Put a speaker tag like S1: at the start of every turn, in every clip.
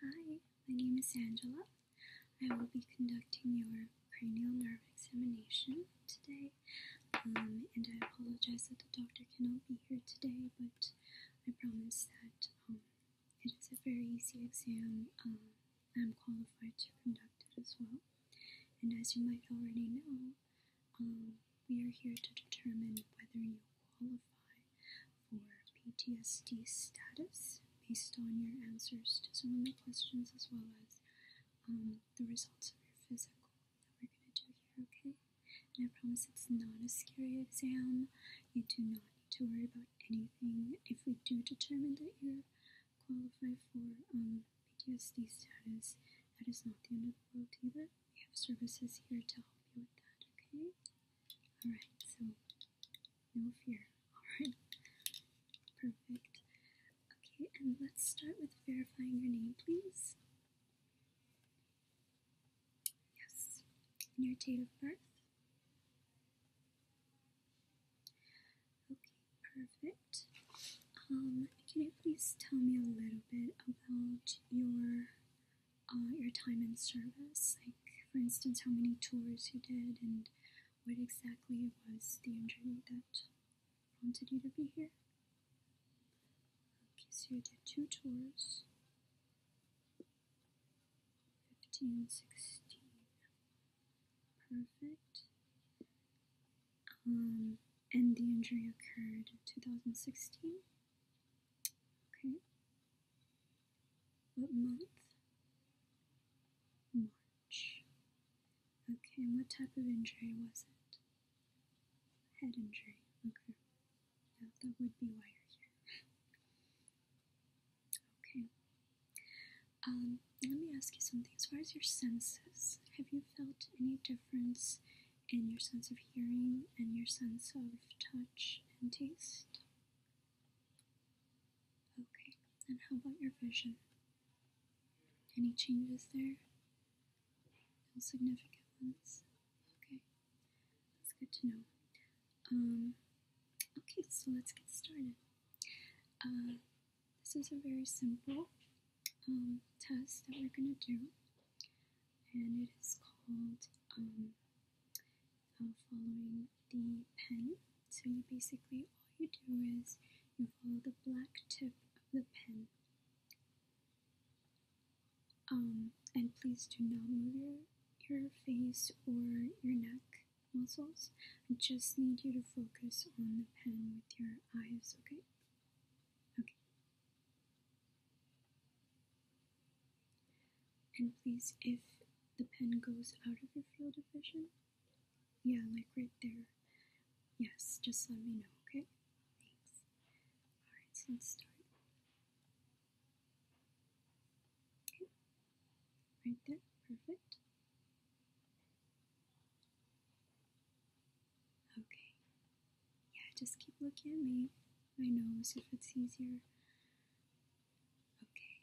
S1: Hi, my name is Angela. I will be conducting your cranial nerve examination today, um, and I apologize that the doctor cannot be here today, but I promise that um, it is a very easy exam. Um, I'm qualified to conduct it as well, and as you might already know, we are here to determine whether you qualify for PTSD status based on your answers to some of the questions as well as um, the results of your physical that we're going to do here, okay? And I promise it's not a scary exam. You do not need to worry about anything. If we do determine that you qualify for um, PTSD status, that is not the end of the world either. We have services here to help you with that, okay? Alright, so no fear. Alright. Perfect. Okay, and let's start with verifying your name, please. Yes. And your date of birth. Okay, perfect. Um, can you please tell me a little bit about your uh, your time in service, like for instance, how many tours you did and what exactly was the injury that prompted you to be here. Okay, so you did two tours. 15, Perfect. Um, and the injury occurred in 2016. Okay. What month? March. Okay, and what type of injury was it? Head injury. Okay. Now that would be why you're here. okay. Um, let me ask you something. As far as your senses, have you felt any difference and your sense of hearing and your sense of touch and taste. Okay, and how about your vision? Any changes there? No significant ones? Okay, that's good to know. Um, okay, so let's get started. Uh, this is a very simple um, test that we're going to do and it is called um, uh, following the pen. So you basically all you do is you follow the black tip of the pen. Um, and please do not move your, your face or your neck muscles. I just need you to focus on the pen with your eyes, okay? Okay. And please, if the pen goes out of your field of vision, yeah, like right there, yes, just let me know, okay? Thanks. Alright, so let's start. right there, perfect. Okay. Yeah, just keep looking at me. My nose, if it's easier. Okay.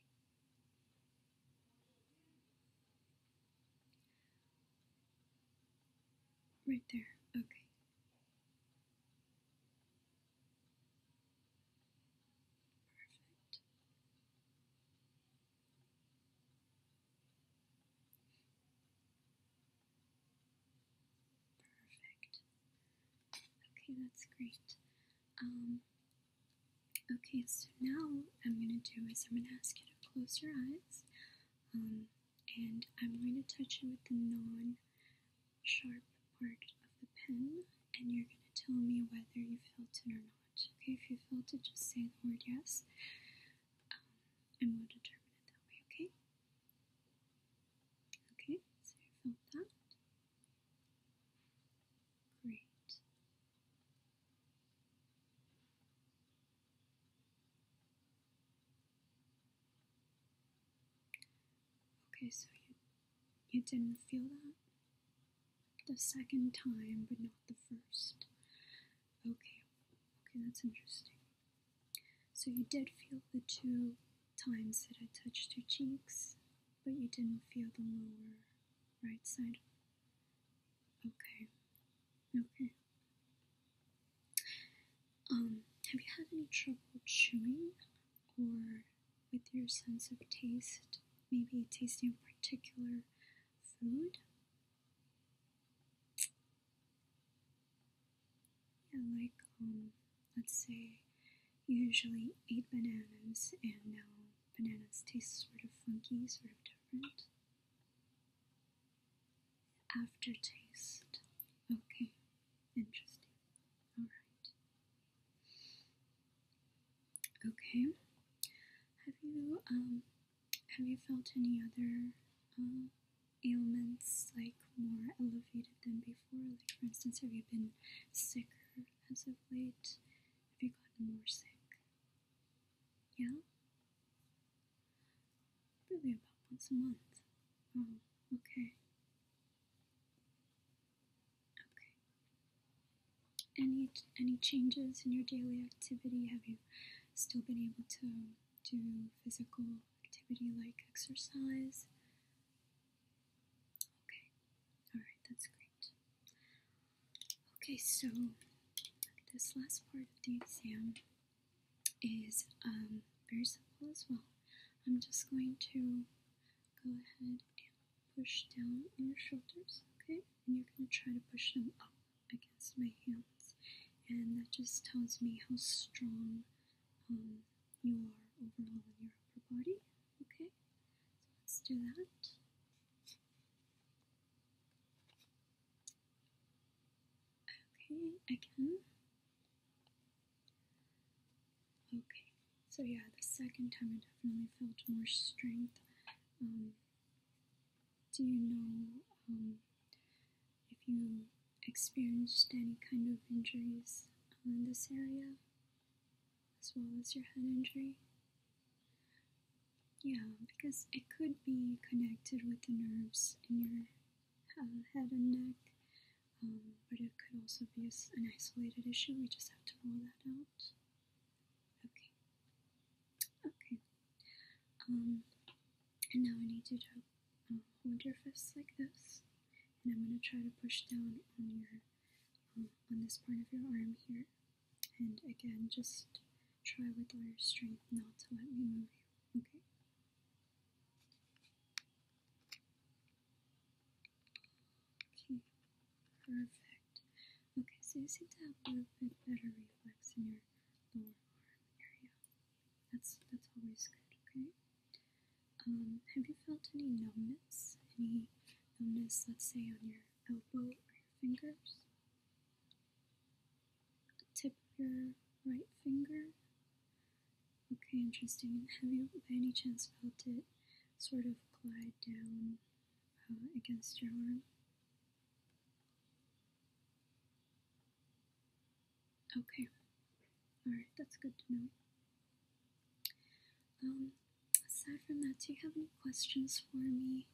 S1: Right there. Okay. Perfect. Perfect. Okay, that's great. Um, okay, so now I'm going to do is I'm going to ask you to close your eyes. Um, and I'm going to touch you with the non sharp part of the pen, and you're going to tell me whether you felt it or not. Okay, if you felt it, just say the word yes, um, and we'll determine it that way, okay? Okay, so you filled that. Great. Okay, so you you didn't feel that the second time, but not the first. Okay, okay, that's interesting. So you did feel the two times that I touched your cheeks, but you didn't feel the lower right side. Okay. Okay. Um, have you had any trouble chewing or with your sense of taste? Maybe tasting a particular food? Yeah, like, um, let's say usually eat bananas and now bananas taste sort of funky, sort of different. Aftertaste. Okay, interesting. Alright. Okay. Have you, um, have you felt any other um, ailments like more elevated than before? Like, for instance, have you been sicker as of late? Have you gotten more sick? Yeah? Really, about once a month. Oh, okay. Okay. Any any changes in your daily activity? Have you still been able to do physical activity like exercise. Okay, alright, that's great. Okay, so this last part of the exam is um, very simple as well. I'm just going to go ahead and push down on your shoulders, okay? And you're going to try to push them up against my hands, and that just tells me how strong um, you are overall in your upper body. Okay, so let's do that. Okay, again. Okay, so yeah, the second time I definitely felt more strength. Um, do you know um, if you experienced any kind of injuries in this area as well as your head injury? Yeah, because it could be connected with the nerves in your uh, head and neck, um, but it could also be an isolated issue. We just have to rule that out. Okay. Okay. Um, and now I need you to um, hold your fists like this, and I'm going to try to push down on your um, on this part of your arm here. And again, just try with all your strength not to let me move you. Okay. Okay. Perfect. Okay, so you seem to have a little bit better reflex in your lower arm area. That's that's always good, okay? Um, have you felt any numbness? Any numbness, let's say, on your elbow or your fingers? tip of your right finger? Okay, interesting. Have you by any chance felt it sort of glide down uh, against your arm? Okay. Alright, that's good to know. Um, aside from that, do you have any questions for me?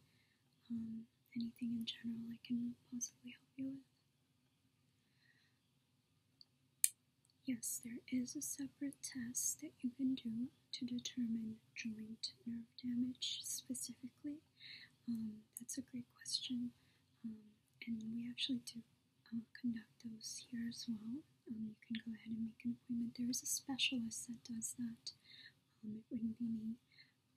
S1: Um, anything in general I can possibly help you with? Yes, there is a separate test that you can do to determine joint nerve damage specifically? Um, that's a great question, um, and we actually do uh, conduct those here as well. Um, you can go ahead and make an appointment. There is a specialist that does that. it wouldn't be me,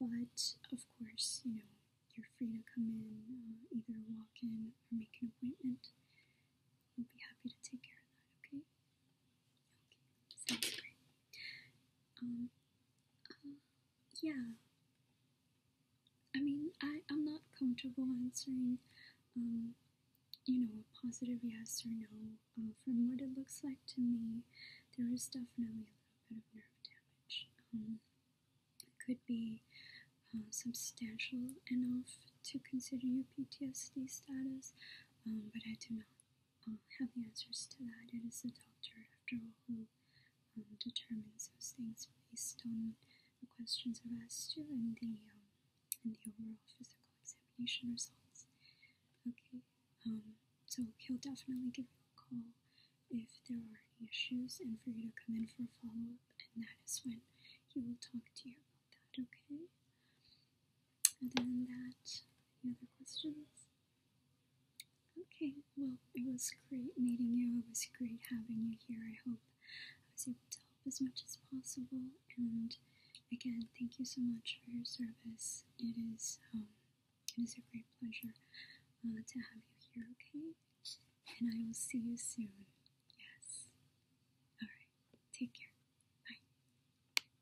S1: but of course, you know, you're free to come in, uh, either walk in or make an appointment. We'll be happy to take care of that. Okay. Um, uh, yeah. I mean, I, I'm not comfortable answering, um, you know, a positive yes or no. Uh, from what it looks like to me, there is definitely a little bit of nerve damage. Um, it could be uh, substantial enough to consider your PTSD status, but I do not um, have the answers to that. It is the doctor, after all, who um, determines those things based on the questions are asked to and the um, and the overall physical examination results. Okay, um, so he'll definitely give you a call if there are any issues and for you to come in for a follow up, and that is when he will talk to you about that. Okay. Other than that, any other questions? Okay, well, it was great meeting you. It was great having you here. I hope I was able to help as much as possible. And again, thank you so much for your service. It is um, it is a great pleasure uh, to have you here. Okay, and I will see you soon. Yes. All right. Take care. Bye.